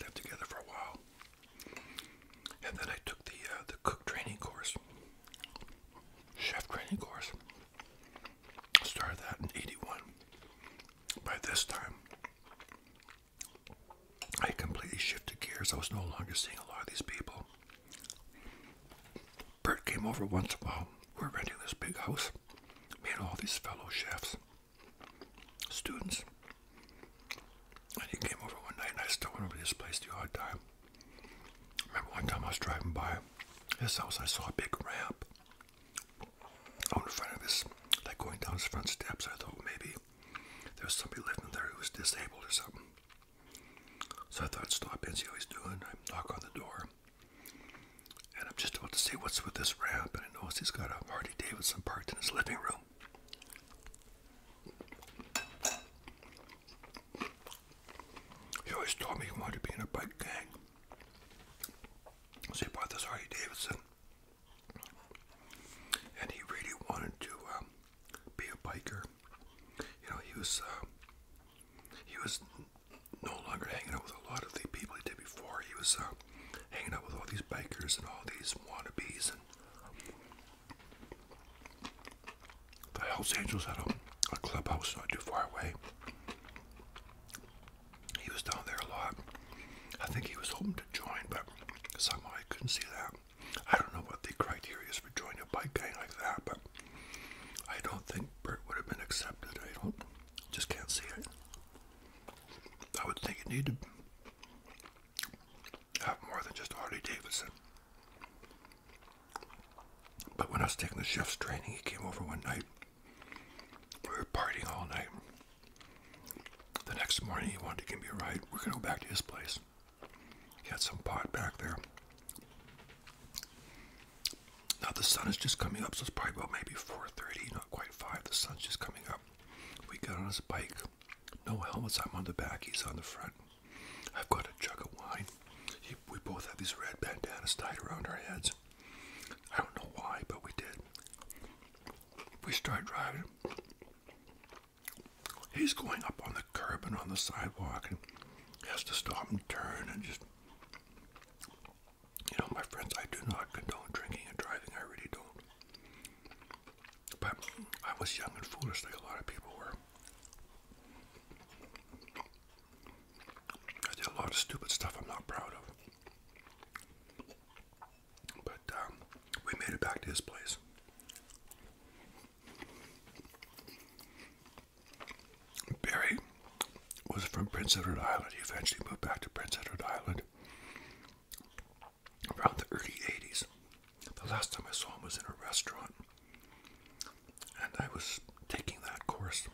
Lived together for a while. And then I took the uh, the cook training course, chef training course. Started that in '81. By this time, I completely shifted gears. I was no longer seeing a lot of these people. Bert came over once in a while. we were renting this big house. Me and all these fellow chefs, students. And he came over one night, and I still went over this place the hard time. Remember one time I was driving by his house, I saw a big ramp out in front of his, like going down his front steps. I thought maybe there's somebody living there who was disabled or something. So I thought stop and see how he's doing. I knock on the door. And I'm just about to say what's with this ramp, and I notice he's got a Harley Davidson parked in his living room. He always told me he wanted to be in a bike gang. So he bought this Harley Davidson and he really wanted to um, be a biker. You know, he was uh, he was no longer hanging out with a lot of the people he did before. He was uh, hanging out with all these bikers and all these wannabes, and the Hells Angels had a clubhouse not too far away. He was down there a lot. I think he was hoping to join, but somehow I couldn't see that. I don't know what the criteria is for joining a bike gang like that, but I don't think Bert would have been accepted. I don't, just can't see it. I would think you needed have more than just Harley Davidson. But when I was taking the chef's training, he came over one night. We were partying all night. The next morning, he wanted to give me a ride. We're going to go back to his place. He had some pot back there. Now the sun is just coming up, so it's probably about maybe 4.30, not quite 5. The sun's just coming up. We got on his bike. No helmets. I'm on the back. He's on the front. I've got a jug of wine. we both have these red bandanas tied around our heads. I don't know why, but we did we start driving. He's going up on the curb and on the sidewalk and has to stop and turn and just. You know, my friends, I do not condone drinking and driving. I really don't. But I was young and foolish like a lot of people were. I did a lot of stupid stuff I'm not proud of. But um, we made it back to his place. Barry was from Prince Edward Island. He eventually moved back to Prince Edward Island around the early 80s. The last time I saw him was in a restaurant, and I was taking that course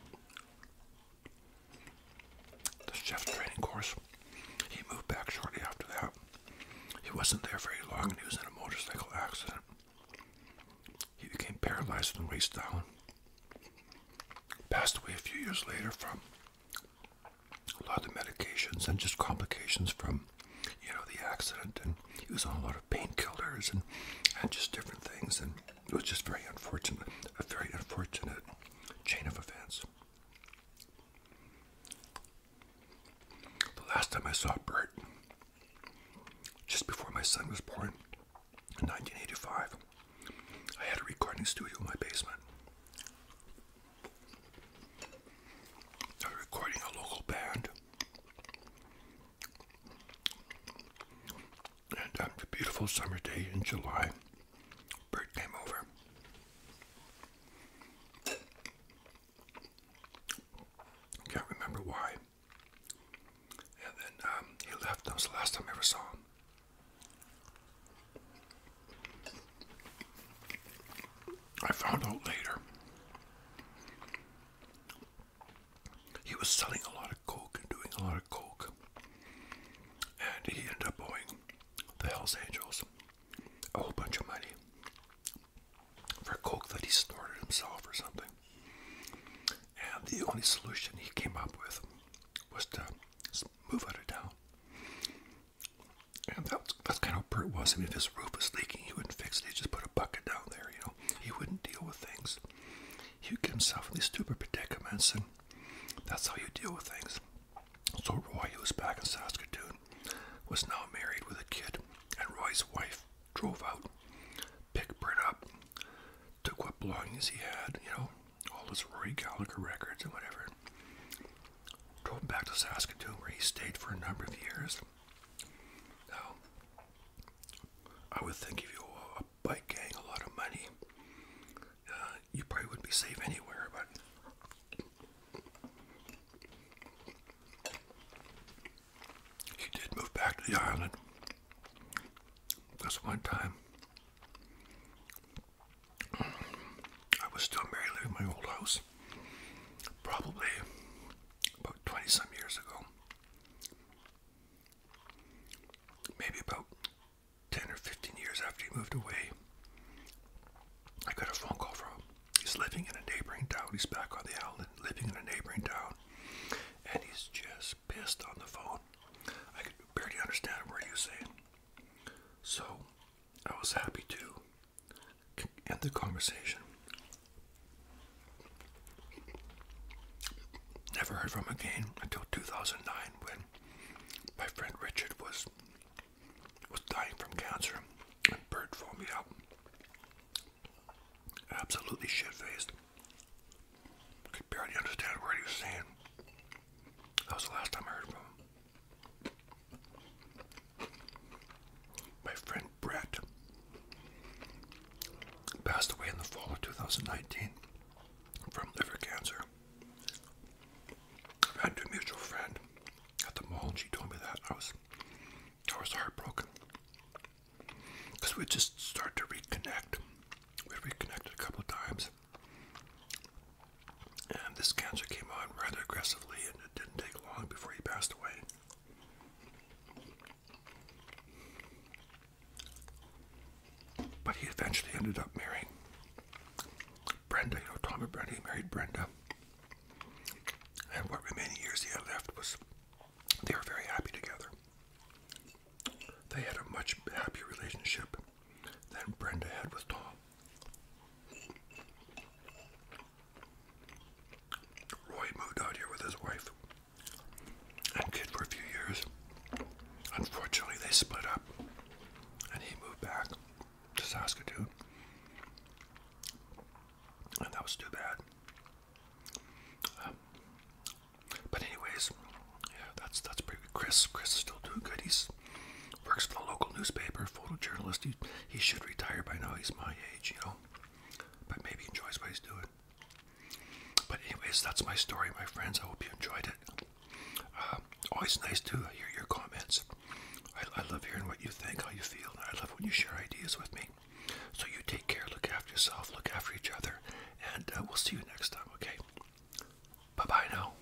the chef training course. He moved back shortly after that. He wasn't there very long and he was in a motorcycle accident. He became paralyzed and waist down. Passed away a few years later from a lot of medications and just complications from, you know, the accident. And he was on a lot of painkillers and, and just different things. And it was just very unfortunate, a very unfortunate chain of events. The last time I saw Bert, just before my son was born in 1985, I had a recording studio in my basement. I was recording a local band. And on um, a beautiful summer day in July, Bert came over. Can't remember why. And then um, he left. That was the last time I ever saw him. I found out later. He was selling a lot of coke and doing a lot of coke. And he ended up owing the Hells Angels a whole bunch of money for coke that he snorted himself or something. And the only solution he came up with was to move out of town. And that was, that's kind of what Bert was. I mean, if his roof was leaking, he wouldn't fix it. He'd just put a bucket down there, you know. He wouldn't deal with things. He would get himself in these stupid predicaments, and that's how you deal with things. So Roy, who was back in Saskatoon, was now married with a kid, and Roy's wife drove out, picked Britt up, took what belongings he had, you know, all his Roy Gallagher records and whatever, drove back to Saskatoon where he stayed for a number of years. Now, I would think if you owe a bike gang a lot of money, you probably wouldn't be safe anywhere, but. She did move back to the island this one time. I was still living my old house, probably about 20 some years ago. Maybe about 10 or 15 years after he moved away. I got a phone call from he's living in a neighboring town. He's back on the island, living in a neighboring town, and he's just pissed on the phone. I could barely understand what he was saying. So I was happy to end the conversation. Never heard from him again until 2009 when my friend Richard was was dying from cancer, and Bert found me out. Absolutely shit faced. Could barely understand where he was saying. That was the last time I heard from him. My friend Brett passed away in the fall of 2019 from liver cancer. I've a mutual friend at the mall, and she told me that I was I was heartbroken because we just started to reconnect. We reconnected a couple of times, and this cancer came on rather aggressively, and it didn't take long before he passed away. But he eventually ended up marrying Brenda, you know, Tom and Brenda, he married Brenda. And what remaining years he had left was they were very happy together. They had a much happier relationship than Brenda had with Tom. Roy moved out here with his wife and kid for a few years. Unfortunately, they split up and he moved back just to Saskatoon. And that was too bad. Um, but anyways, yeah, that's that's pretty good. Chris, Chris is still doing good. He's works for the local newspaper, photojournalist. He, he should retire by now. He's my age, you know. But maybe he enjoys what he's doing. But anyways, that's my story, my friends. I hope you enjoyed it. Uh, always nice to hear your comments. I, love hearing what you think, how you feel, I love when you share ideas with me. So you take care, look after yourself, look after each other, and uh, we'll see you next time, okay? Bye bye now.